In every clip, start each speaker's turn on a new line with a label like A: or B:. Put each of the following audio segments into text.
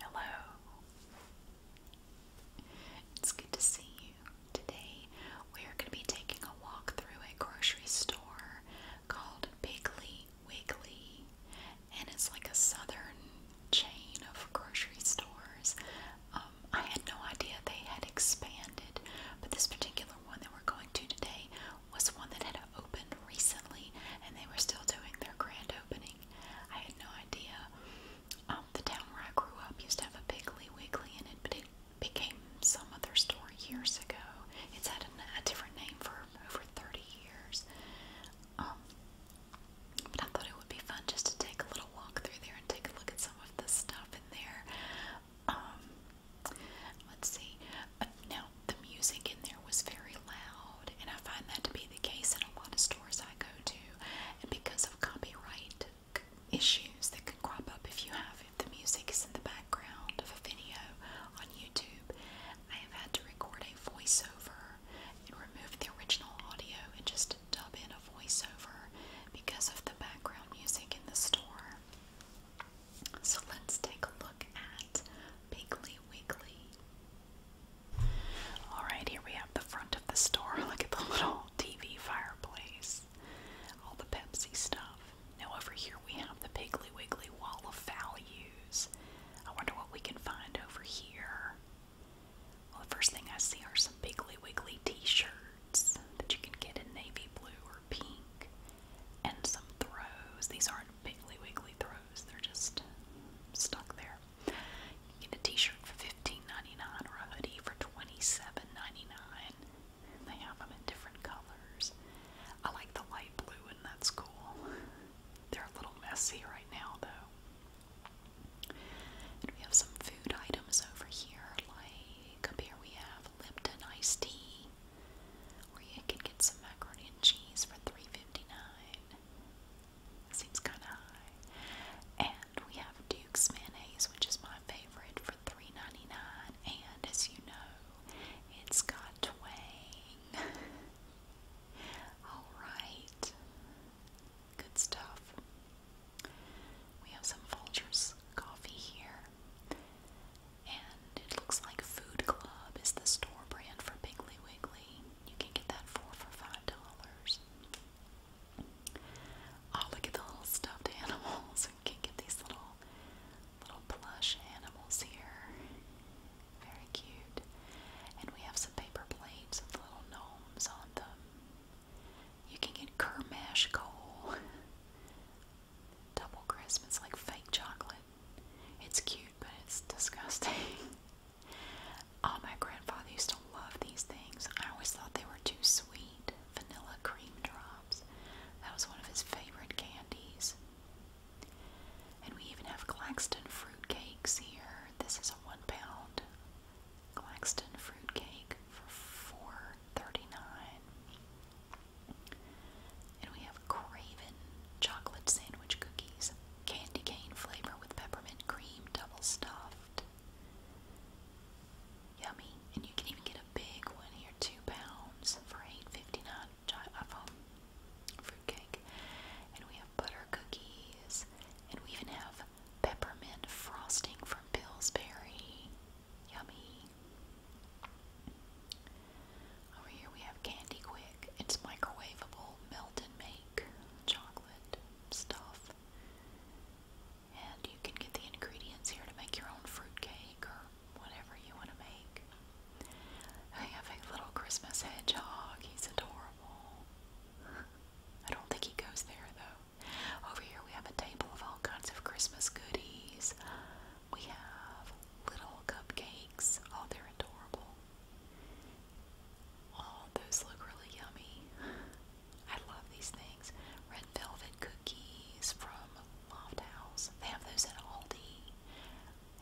A: Hello. It's good to see you. Today we are going to be taking a walk through a grocery store called Piggly Wiggly. And it's like a southern chain of grocery stores. Um, I had no idea they had expanded, but this particular one that we're going to today was one that had opened recently and they were still doing their grand opening I had no idea. Um, the town where I grew up used to have a Piggly Wiggly in it, but it became some other store years ago. It's had a, a different name for over 30 years. Um, but I thought it would be fun just to take a little walk through there and take a look at some of the stuff in there. Um, let's see. Uh, now, the music in there was very loud allowed, and I find that to be the case in a lot of stores I go to, and because of copyright issues that could crop up if you have if the music is in the background of a video on YouTube, I have had to record a voiceover and remove the original audio and just dub in a voiceover because of the background music in the store. So let's take a look at Piggly Wiggly. Alright, here we have the front of the store. Look at the little TV fireplace. All the Pepsi stuff. Now, over here we have the Piggly Wiggly wall of values. I wonder what we can find over here. Well, the first thing I see are some Piggly Wiggly t shirts that you can get in navy blue or pink, and some throws. These aren't Piggly Wiggly throws, they're just stuck there get a t-shirt for $15.99 or a hoodie for $27.99. they have them in different colors. I like the light blue and that's cool. They're a little messy right now though. we have some food items over here, like up here we have Lipton iced tea. Or you can get some macaroni and cheese for $3.59. Seems kind of high. And we have Duke's mayonnaise, which is my favorite, for $3.99. And as you know, it's got twang. Alright. Good stuff. We have some Folgers coffee here. And it looks like Food Club is the store brand for Piggly Wiggly. You can get that four for five dollars. Oh, look at the little stuffed animals. We can get these little little plush animals here. Very cute. And we have some paper plates with little gnomes on them. You can get Kermash coal. Double Christmas, like fake chocolate. It's cute, but it's disgusting. Oh, my grandfather used to love these things. I always thought they were too sweet. Vanilla cream drops. That was one of his favorite candies. And we even have Claxton fruit cakes here. This is a one pound Claxton fruit cake for $4.39. And we have Craven chocolate sandwich cookies candy cane flavor with peppermint cream, double stuffed. Yummy. And you can even get a big one here, two pounds for $8.59 um, fruitcake. And we have butter cookies. And we even have peppermint frosting from Pillsbury. Yummy. Over here we have Candy Quick. It's microwavable, melt and make chocolate stuff. And you can get the ingredients here to make your own fruit cake or whatever you want to make. I have a little Christmas hedgehog. He's adorable. I don't think he goes there though. Over here we have a table of all kinds of Christmas goodies. We have little cupcakes. Oh, they're adorable. Oh, those look really yummy. I love these things. Red velvet cookies from Loft House. They have those at Aldi.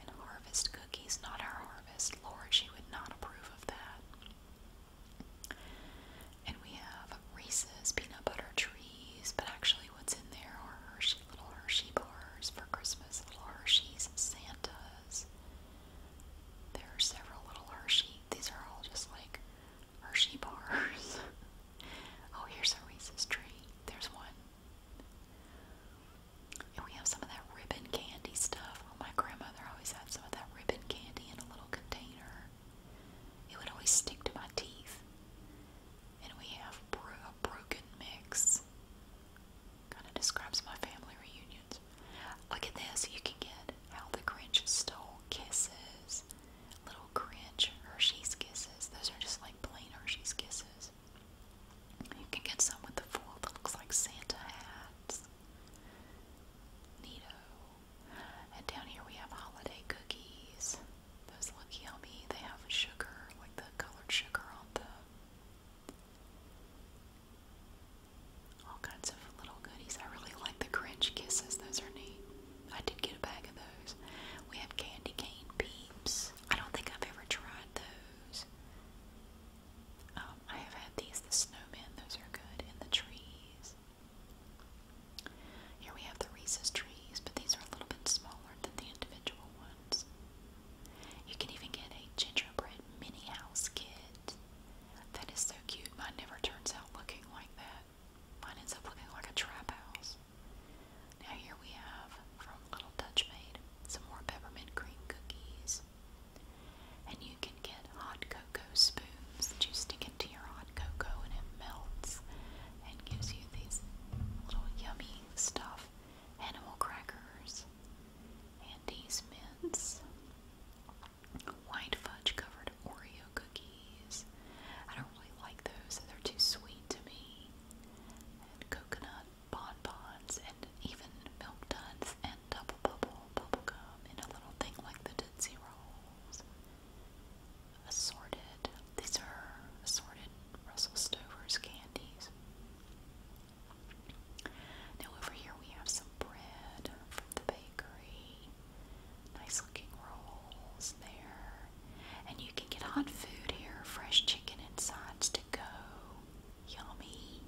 A: And harvest cookies, not our harvest. Lord, she would not approve of that. And we have Reese's peanut butter trees, but actually, what's in there are Hershey little Hershey bars for Christmas, little Hershey's Santas. There are several little Hershey. These are all just like Hershey bars. oh, here's a Reese's tree. There's one. And we have some of that ribbon candy stuff. Oh, my grandmother always had some of that ribbon candy in a little container. It would always stick to my teeth. And we have a broken mix. Kind of describes my family reunions. Look at this. You can get how the Grinch stole kisses. Little Grinch Hershey's kisses. Those are just like plain Hershey's kisses. You can get some with the foil that looks like Santa hats. Neato. And down here we have holiday cookies. Those look yummy. They have sugar, like the colored sugar on the all kinds of little goodies. I really like the Grinch kisses; those are neat. I did get a bag of those. We have candy cane peeps. I don't think I've ever tried those. Um, I have had these, the snowman. those are good, and the trees. Here we have the Reese's trees, but these are a little bit smaller than the individual ones. You can even get a gingerbread mini house kit. That is so cute. Mine never turns out looking like that. Mine ends up looking like a trap house. Now here we have from Little Dutch Maid some more peppermint cream cookies. And you can get hot cocoa spoons that you stick into your hot cocoa and it melts and gives you these little yummy stuff. Animal crackers. Andy's mints, white fudge covered Oreo cookies. I don't really like those; they're too sweet to me. And coconut bonbons, and even milk duds and double bubble bubble gum and a little thing like the Tootsie Rolls. Assorted. These are assorted Russell Stover's candies. Now, over here we have some bread from the bakery. Nice looking rolls there. And you can get hot food here fresh chicken and sides to go. Yummy.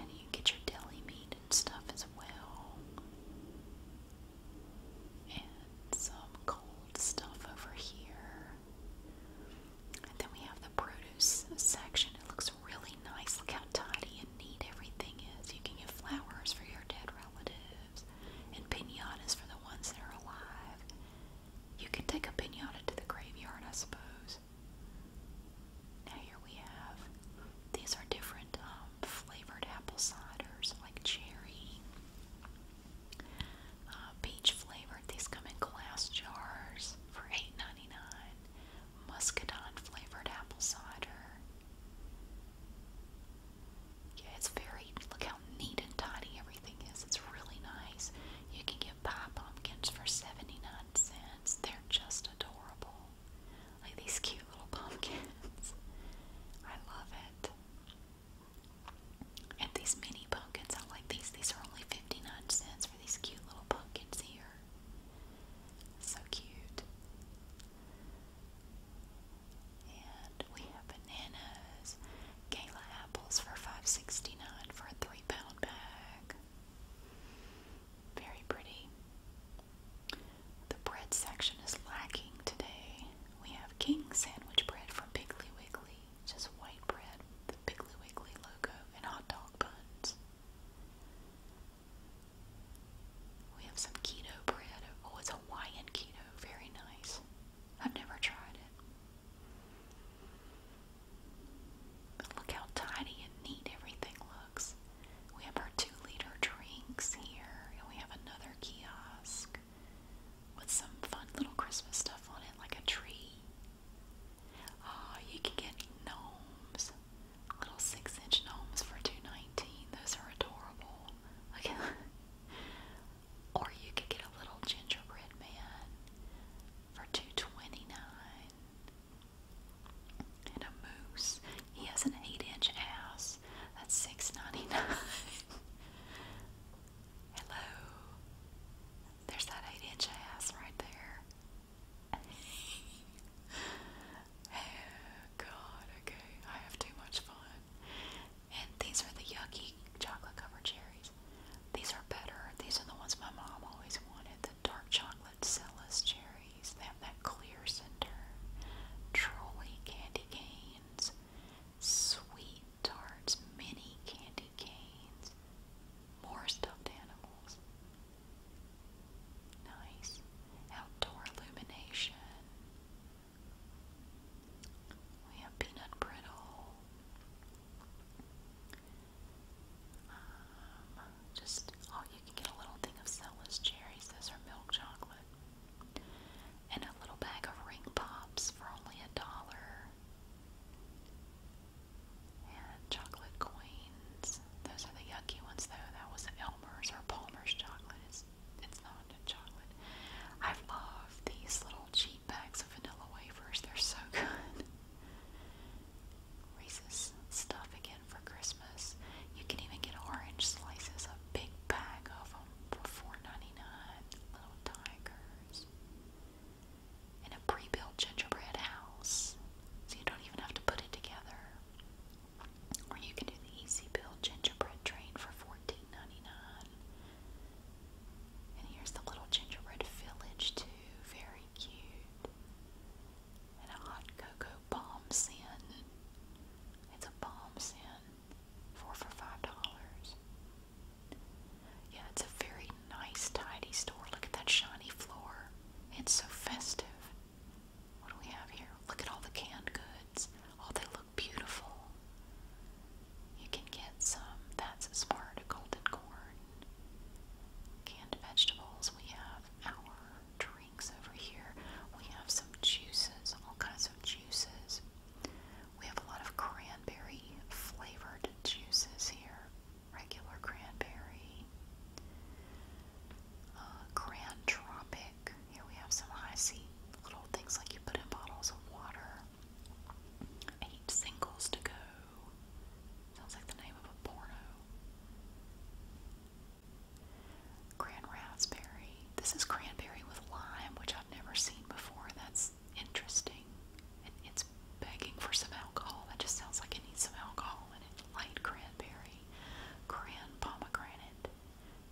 A: And you get your deli meat and stuff as well. And some cold stuff over here. And then we have the produce section. It looks really nice. Look how tidy and neat everything is. You can get flowers for your dead relatives and pinatas for the ones that are alive. You can take a pinata to the graveyard, I suppose. Now, here we have these are different um, flavored apple ciders like cherry, uh, peach flavored. These come in glass jars for $8.99 muscadine flavored apple cider. Yeah, it's very, look how neat and tidy everything is. It's really nice. You can get pie pumpkins for 79 cents. They're just adorable. Like these cute little pumpkins. I love it. And these mini pumpkins, I like these. These are only 59 cents for these cute little pumpkins here. So cute. And we have bananas, gala apples for 5 for a three pound bag. Very pretty. The bread section is lacking today. We have King sandwich bread from Piggly Wiggly, just white bread the Piggly Wiggly logo and hot dog buns. We have some keto bread. Oh, it's Hawaiian keto. Very nice. I've never tried it. look how tidy and neat everything looks. We have our two liter drinks here, and we have another kiosk with some fun little Christmas stuff on it, like a tree Oh, you can get gnomes. Little six inch gnomes for two nineteen. Those are adorable. Okay. or you could get a little gingerbread man for two twenty nine. And a moose. He has an eight inch ass. That's six ninety nine. Hello. There's that eight inch ass right there oh god, okay. I have too much fun. And these are the yucky chocolate covered cherries. These are better. These are the ones my mom always wanted. The dark chocolate Celis cherries. They have that clear center. Trolley candy canes. Sweet tarts. Mini candy canes. More stuffed animals. Nice. Outdoor illumination. We have peanut brittle. Um, just oh, you can get a little thing of Cella's cherries. Those are milk chocolate, and a little bag of ring pops for only a dollar chocolate queens. Those are the yucky ones though. That was Elmer's or Palmer's chocolate. It's not a chocolate. I love these little cheap bags of vanilla wafers. They're so good. Reese's stuff again for Christmas. You can even get orange slices, a big bag of them for four ninety nine. Little tigers in a pre-built gingerbread house, so you don't even have to put it together. Or you can do the easy build gingerbread train for 14 And here's the little gingerbread village too, very cute. And a hot cocoa bomb sin. It's a bomb sin. Four for five dollars. Yeah, it's a very nice, tidy store. Look at that shiny floor. It's so festive. What do we have here? Look at all the canned goods. Oh, they look beautiful. You can get some. That's smart. Golden corn. Canned vegetables. We have our drinks over here. We have some juices, all kinds of juices. We have a lot of cranberry flavored juices here regular cranberry, uh, Tropic. Here we have some icy little things like you put in bottles of water. Eight singles to go. Sounds like the name of a porno. Grand raspberry. This is cranberry with lime, which I've never seen before. That's interesting. it's begging for some alcohol. That just sounds like it needs some alcohol in Light cranberry, grand pomegranate,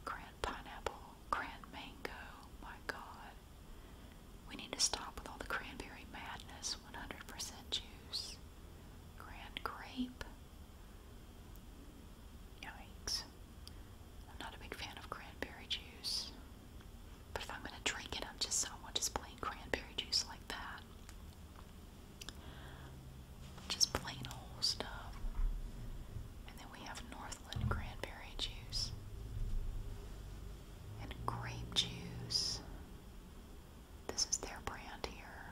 A: grand pineapple, grand mango. My God. We need to stop with all the cranberry madness. 100% juice. Grand grape. Yikes. I'm not a big fan of cranberry juice. But if I'm going to drink it, I'm just, I want just plain cranberry juice like that. Just plain old stuff. And then we have Northland cranberry juice and grape juice. This is their brand here.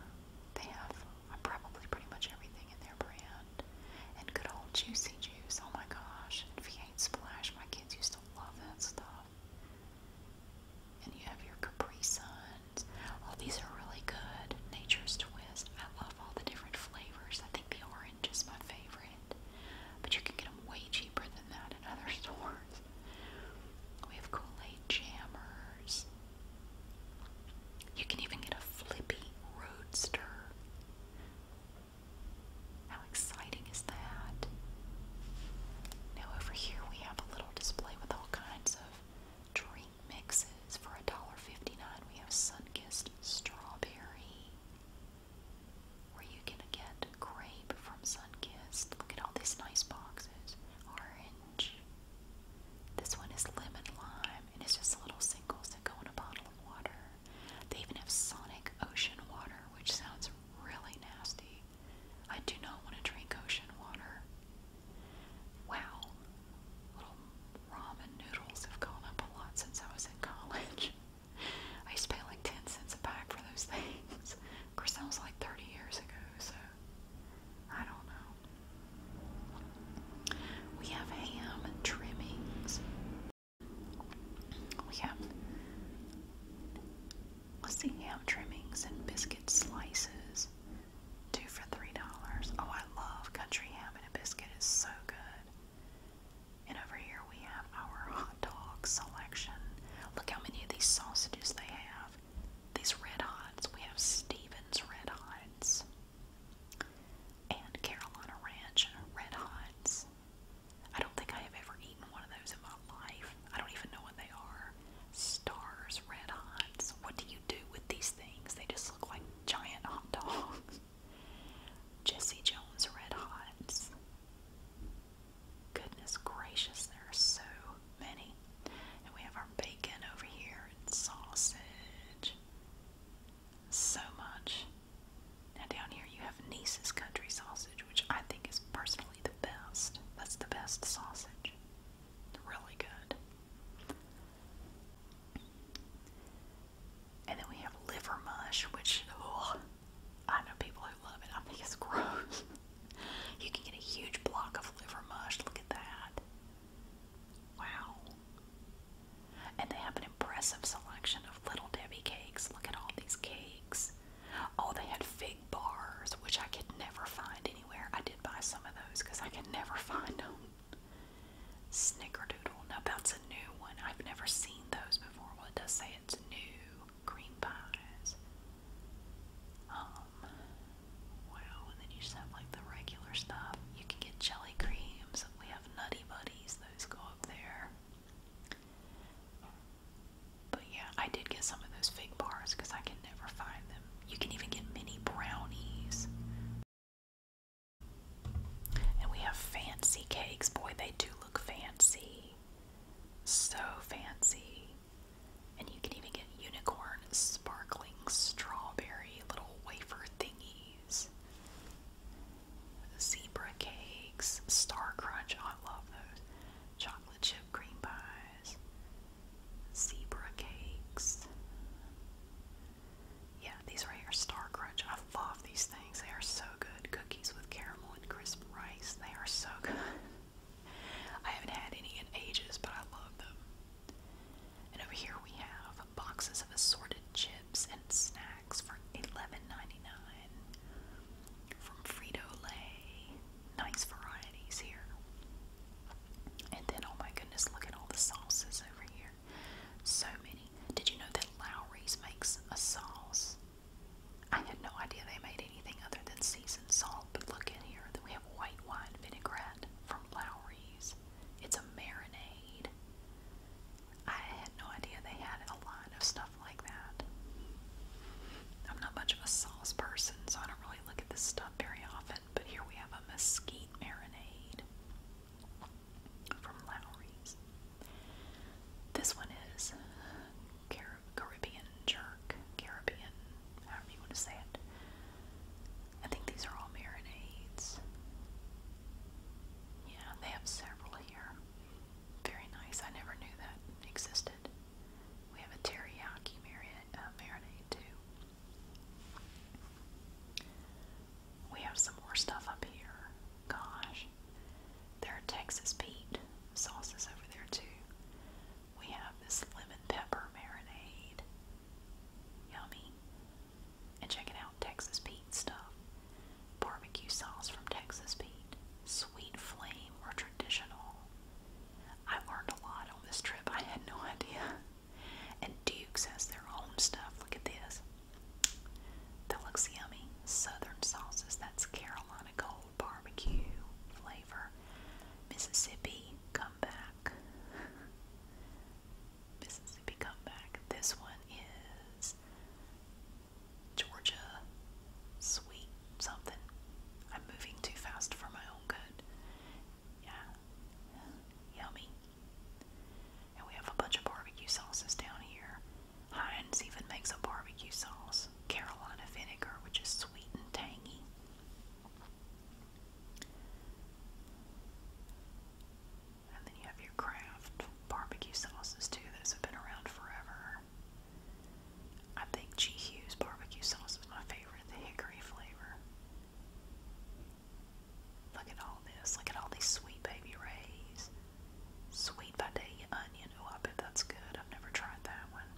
A: They have uh, probably pretty much everything in their brand. And good old juicy juice. Oh my gosh. If you ain't Splash. My kids used to love that stuff. And you have your Capri Suns. All these are really good. Nature's Twist. I love all the different flavors. I think the orange is my favorite. But you can get them way cheaper than that in other stores. We have Kool-Aid Jammers. You can even get a Flippy Roadster. How exciting is that? Now, over here we have a little display with all kinds of drink mixes for $1.59. We have Sunkissed Strawberry, where you can get grape from Sunkissed. Look at all these nice boxes. Orange. This one is lemon lime, and it's just little singles that go in a bottle of water. They even have Sonic Ocean water, which sounds really nasty. I do not want to drink ocean water. Wow, little ramen noodles have gone up a lot since I was in college. I used to pay like 10 cents a pack for those things. Of course, that was like 30 years ago, so I don't know. We have ham trimmings. We have Let's see, ham trimmings and biscuit slices? Two for three dollars. Oh, I love country ham and a biscuit. It's so good. And over here we have our hot dog selection. Look how many of these sausages they have. These red hots. We have Stevens red hots and Carolina Ranch red hots. I don't think I have ever eaten gotten one of those in my life. I don't even know what they are. Stars, red hots. What do you do with these things? They just look like giant hot dogs. Jesse Jones red hots. Goodness gracious, there are so many. And we have our bacon over here and sausage. So much. Now down here you have Nice's country sausage, which I think is personally the best. That's the best sausage. Really good. And then we have liver mush, which oh, I know people who love it. I think it's gross. you can get a huge block of liver mush. Look at that. Wow. And they have an impressive selection of Little Debbie cakes. Look at all these cakes. Oh, they had fig bars, which I could never find anywhere. I did buy some of those because I could never find them. Snickerdoodle. Now that's a new one. I've never seen those before. Well, it does say it's new cream pies. Um, wow. And then you just have like the regular stuff. You can get jelly creams. We have Nutty Buddies. Those go up there. But yeah, I did get some of those fake bars because I can never find them. You can even get mini brownies. And we have fancy cakes. Boy, they do look fancy. So fancy. And you can even get unicorn sparkling strawberry little wafer thingies. Zebra cakes, star crunch, I love those. Chocolate chip cream pies zebra cakes. Yeah, these right here, Star Crunch. I love these things. They are so good. Cookies with caramel and crisp rice. They are so good. I haven't had any in ages, but I love them. And over here we have boxes of assorted chips and snacks for $11.99 from Frito Lay nice varieties here. And then, oh my goodness, look at all the sauces over here. So many. Did you know that Lowry's makes a sauce? I had no idea they made anything other than seasoned salt, but look in here. Then we have white wine vinaigrette from Lowry's. It's a marinade. I had no idea they had a line of stuff like that. I'm not much of a sauce person, so I don't really look at this stuff very often, but here we have a mesquite marinade from Lowry's. This one is Caribbean jerk, Caribbean, however you want to say it. I think these are all marinades. Yeah, they have several here. Very nice. I never knew that existed. We have a teriyaki uh, marinade too. We have some more stuff up here. Gosh. There are Texas Pete sauces over there too. We have this lemon pepper marinade. Yummy. And check it out, Texas Pete stuff. Barbecue sauce from Texas Pete. Sweet flame or traditional. I learned a lot on this trip. I had no idea. And Duke's has their own stuff. Look at this. That looks yummy. Southern sauces. That's Carolina Gold barbecue flavor. Mississippi comeback. Mississippi comeback. This one is Georgia sweet something. I'm moving too fast for my own good. Yeah. Yummy. And we have a bunch of barbecue sauces down here. Heinz even makes a barbecue sauce, Carolina vinegar, which is sweet and tangy. And then you have your Kraft barbecue sauces too. Those have been around forever. I think G. Hughes barbecue sauce is my favorite, the hickory flavor. Look at all this. Look at all these sweet baby rays. Sweet Vidalia onion. Oh, I bet that's good. I've never tried that one.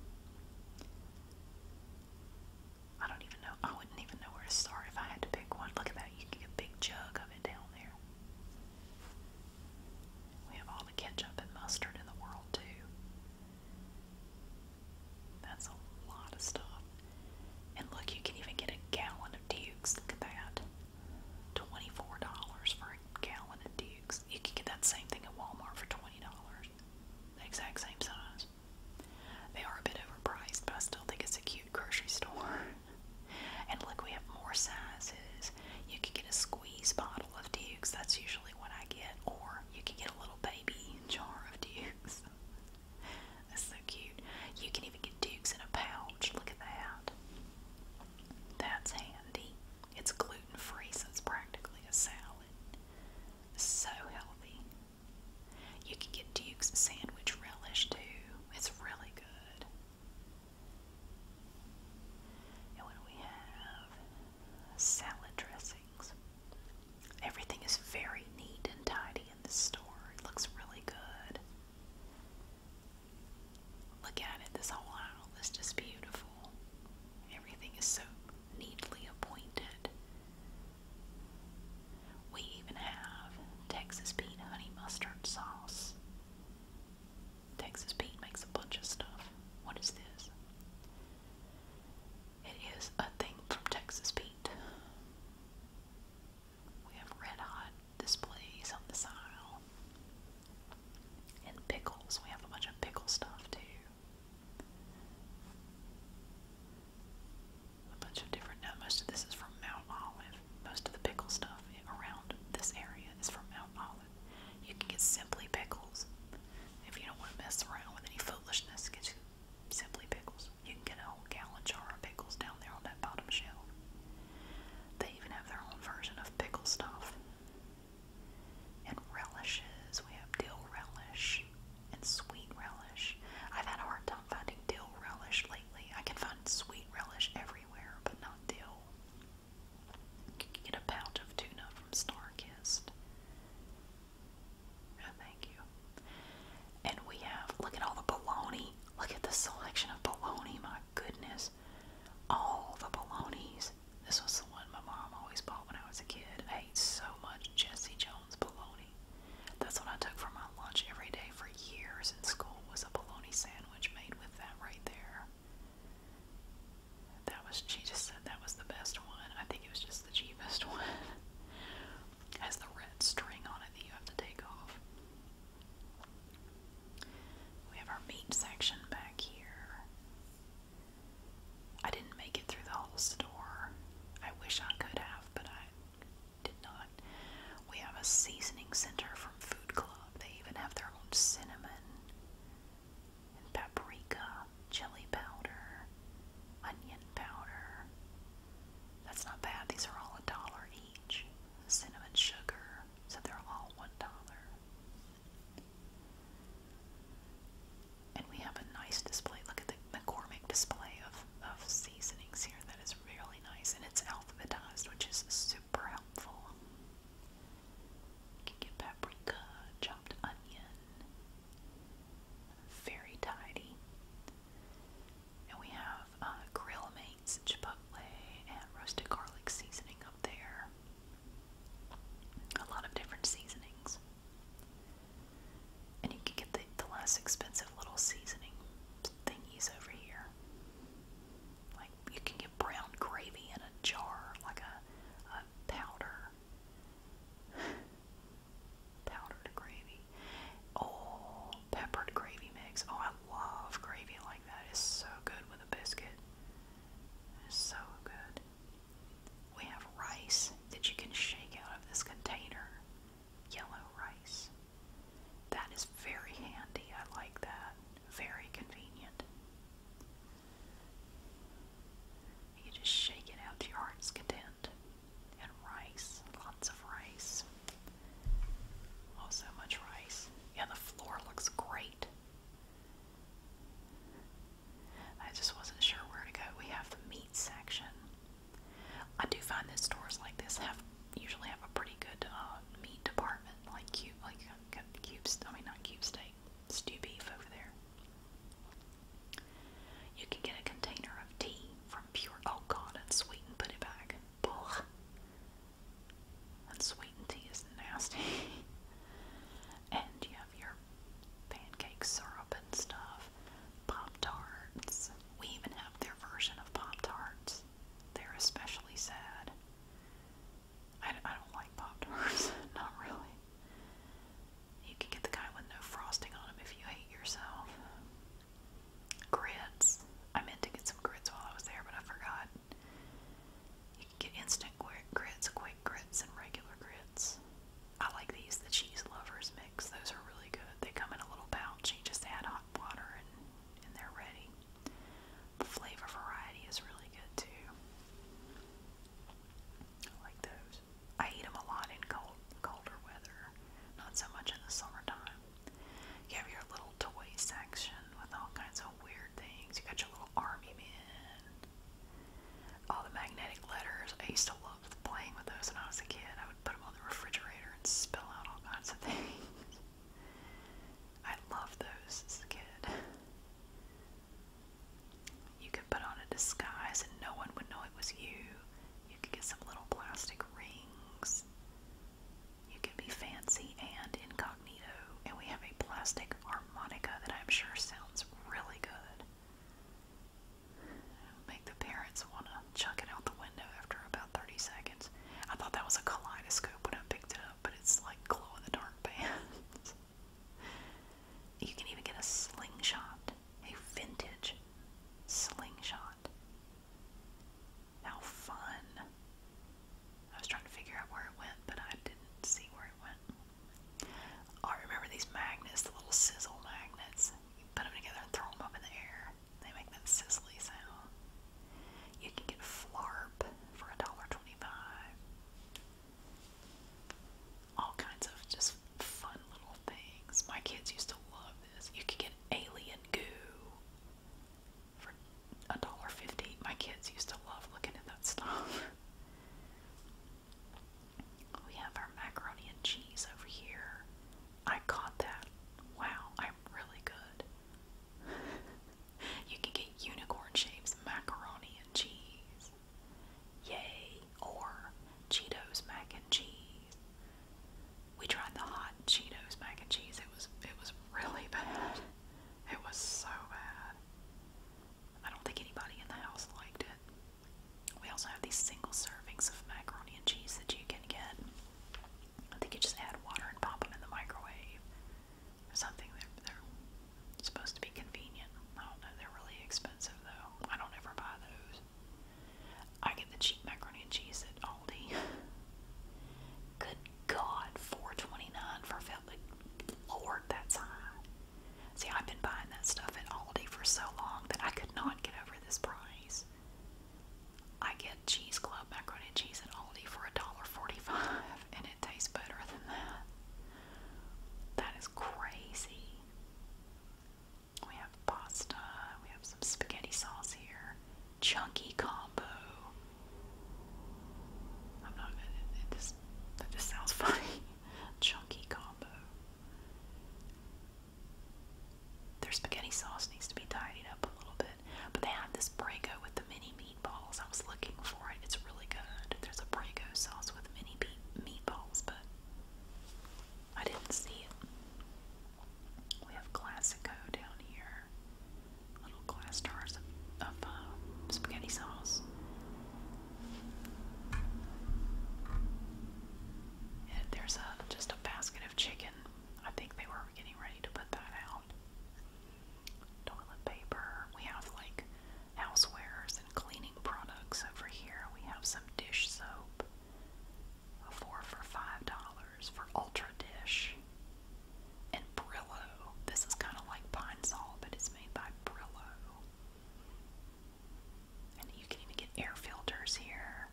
A: I don't even know. I wouldn't even know where to start if I had to pick one. Look at that. You get a big jug of it down there. We have all the ketchup and mustard in the world, too. That's a lot of stuff. And look, you can even get a gallon of Dukes. Look at that. $24 for a gallon of Dukes. You can get that same thing at Walmart for $20. The exact same size. They are a bit overpriced, but I still think it's a cute grocery store. and look, we have more sizes. You could get a squeeze bottle of Dukes. That's usually what I get. Or you can get a little baby jar of Dukes. That's so cute. You can even get Dukes in a pouch. Look at that. That's handy. It's gluten free, so it's practically a salad. So healthy. You can get Duke's sandwich relish too. It's really good. And what do we have? Salad dressing. Everything is very neat and tidy in this store. It looks really good. Look at it, this whole aisle is just beautiful. Everything is so neatly appointed. We even have Texas Pete honey mustard sauce. Texas Pete makes a bunch of stuff. What is this? It is a thing from Texas Pete. We have red hot displays on this aisle. And pickles. We have a bunch of pickle stuff too. A bunch of different. most of this is from Mount Olive. Most of the pickle stuff around this area is from Mount Olive. You can get simply pickles. If you don't want to mess around with any foolishness, get you Simply Pickles. You can get a whole gallon jar of pickles down there on that bottom shelf. They even have their own version of pickle stuff. And relishes. We have dill relish and sweet relish. I've had a hard time finding dill relish lately. I can find sweet relish everywhere, but not dill. get a pouch of tuna from Starkist. No, oh, thank you. And we have, look at all the bologna. Look at the selection of bologna, my goodness. All the bolognas. This was the one my mom always bought when I was a kid. I ate so much Jesse Jones bologna. That's what I took for my lunch every day for years in school was a bologna sandwich made with that right there. That was, she just said that was the best one. I think it was just the cheapest one. Has the red string on it that you have to take off. We have our meat section back here. I didn't make it through the whole store. I wish I could have, but I did not. We have a seasoning center from Food Club. They even have their own cinnamon and paprika, chili powder, onion powder. That's not bad. These are all a dollar each. Cinnamon sugar, so they're all one dollar. And we have a nice display. Look at the McCormick display of, of seasonings here. That is really nice. And it's alphabetized, which is super helpful. You can get paprika, chopped onion, very tidy. And we have uh, grill mates, chipotle, and roasted garlic seasoning up there. A lot of different seasonings. And you can get the, the less expensive little seasoning thingies over here. Like you can get brown gravy in a jar, like a powder powdered gravy. Oh, peppered gravy mix. Oh, I love gravy like that. It's so good with a biscuit. It's so good. We have rice that you can shake out of this container. Yellow rice. That is very handy. I like that. Very convenient. You just shake it out to your heart's content. And rice, lots of rice. Oh, so much rice. Yeah, the floor looks great. I just wasn't sure where to go. We have the meat section. I do find that stores like this have usually have a pretty good uh, meat department, like cube, like uh, cube. I mean, not cube steak, stew beef over there. You can get a container of tea from Pure. Oh God, unsweetened. Put it back. Ugh. Unsweetened tea is nasty. and you have your pancake syrup and stuff. Pop tarts. We even have their version of pop tarts. They're especially sad. I, I don't like pop tarts. Not really. You can get the kind with no frosting on them if you hate yourself. Grits. I meant to get some grits while I was there, but I forgot. You can get instant grits, quick grits, and regular grits. I like these, the cheese lovers mix. Those are really good. They come in a little pouch. You just add hot water and, and they're ready. The flavor variety is really good too. I like those. I eat them a lot in cold, colder weather, not so much in the summertime. You have your little toy section with all kinds of weird things. You got your little army man, all the magnetic letters. I used to love playing with those when I was a kid. I would put them on the refrigerator and spill out all kinds of things. I loved those as a kid. You could put on a disguise and no one would know it was you. You could get some little plastic rings. You could be fancy and incognito. And we have a plastic harmonica that I'm sure sounds really good. Make the parents want to chuck it out the window after about 30 seconds. I thought that was a kaleidoscope when I picked it up, but it's like glow in the dark bands. You can even get a slingshot, a vintage slingshot. How fun! I was trying to figure out where it went, but I didn't see where it went. Oh, I remember these magnets, the little sizzle magnets. You put them together and throw them up in the air. They make that sizzly sound. You can get flarp for a dollar twenty-five all kinds of just fun little things. My kids used to love this. You could get alien goo for a dollar fifty. My kids used to love looking at that stuff. We have our macaroni and cheese over here. I caught that. Wow, I'm really good. you can get unicorn shapes macaroni and cheese. Yay! Or Cheetos mac and cheese. We tried the hot Cheetos mac and cheese. It was it was really bad. It was so bad. I don't think anybody in the house liked it. We also have these single servings of macaroni and cheese that you can get. I think you just add water and pop them in the microwave. Or something they it's supposed to be convenient. I don't know, they're really expensive though. I don't ever buy those. I get the cheap macaroni and cheese at Aldi. Good God, four twenty nine for Philly. Lord, that's high. See, I've been buying that stuff at Aldi for so long that I could not get over this price. I get Cheese Club macaroni and cheese at Aldi for $1.45 and it tastes better than that. That is crazy. We have pasta, we have some spaghetti sauce here. Chunky combo. I'm not it, it that just sounds funny. Chunky combo. Their spaghetti sauce needs to be tidied up a little bit. But they have this brago with the mini meatballs. I was looking for it. It's really good. There's a brago sauce with mini meatballs, but I didn't see it. We have Classico down here. Little glass jars of, um, spaghetti sauce. And there's a just a basket of chicken. I think they were getting ready to put that out. Toilet paper. We have like housewares and cleaning products. Over here, we have some dish soap, four for five dollars for Ultra Dish. And Brillo. This is kind of like Pine Sol, but it's made by Brillo. And you can even get air filters here,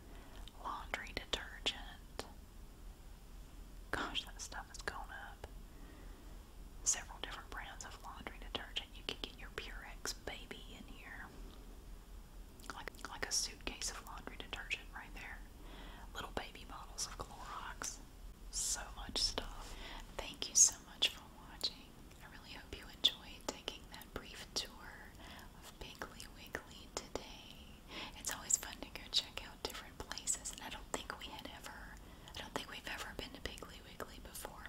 A: laundry detergent. Gosh, that stuff is going up. Several different brands of laundry detergent you can get your Purex baby in here. Like, like a suitcase of laundry detergent right there. Little baby bottles of Clorox. So much stuff. Thank you so much for watching. I really hope you enjoyed taking that brief tour of Piggly Wiggley today. It's always fun to go check out different places, and I don't think we had ever, I don't think we've ever been to Piggly Wiggley before.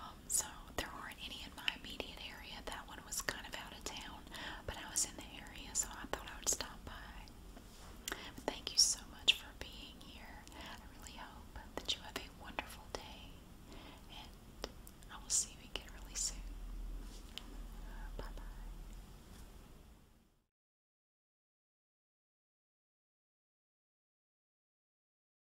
A: Um, so there weren't any in my immediate area. That one was kind of out of town, but I was in the area, so I thought I would stop by. thank you so much for being here. I really hope that you have a wonderful day, and I will see you again really soon. Bye bye.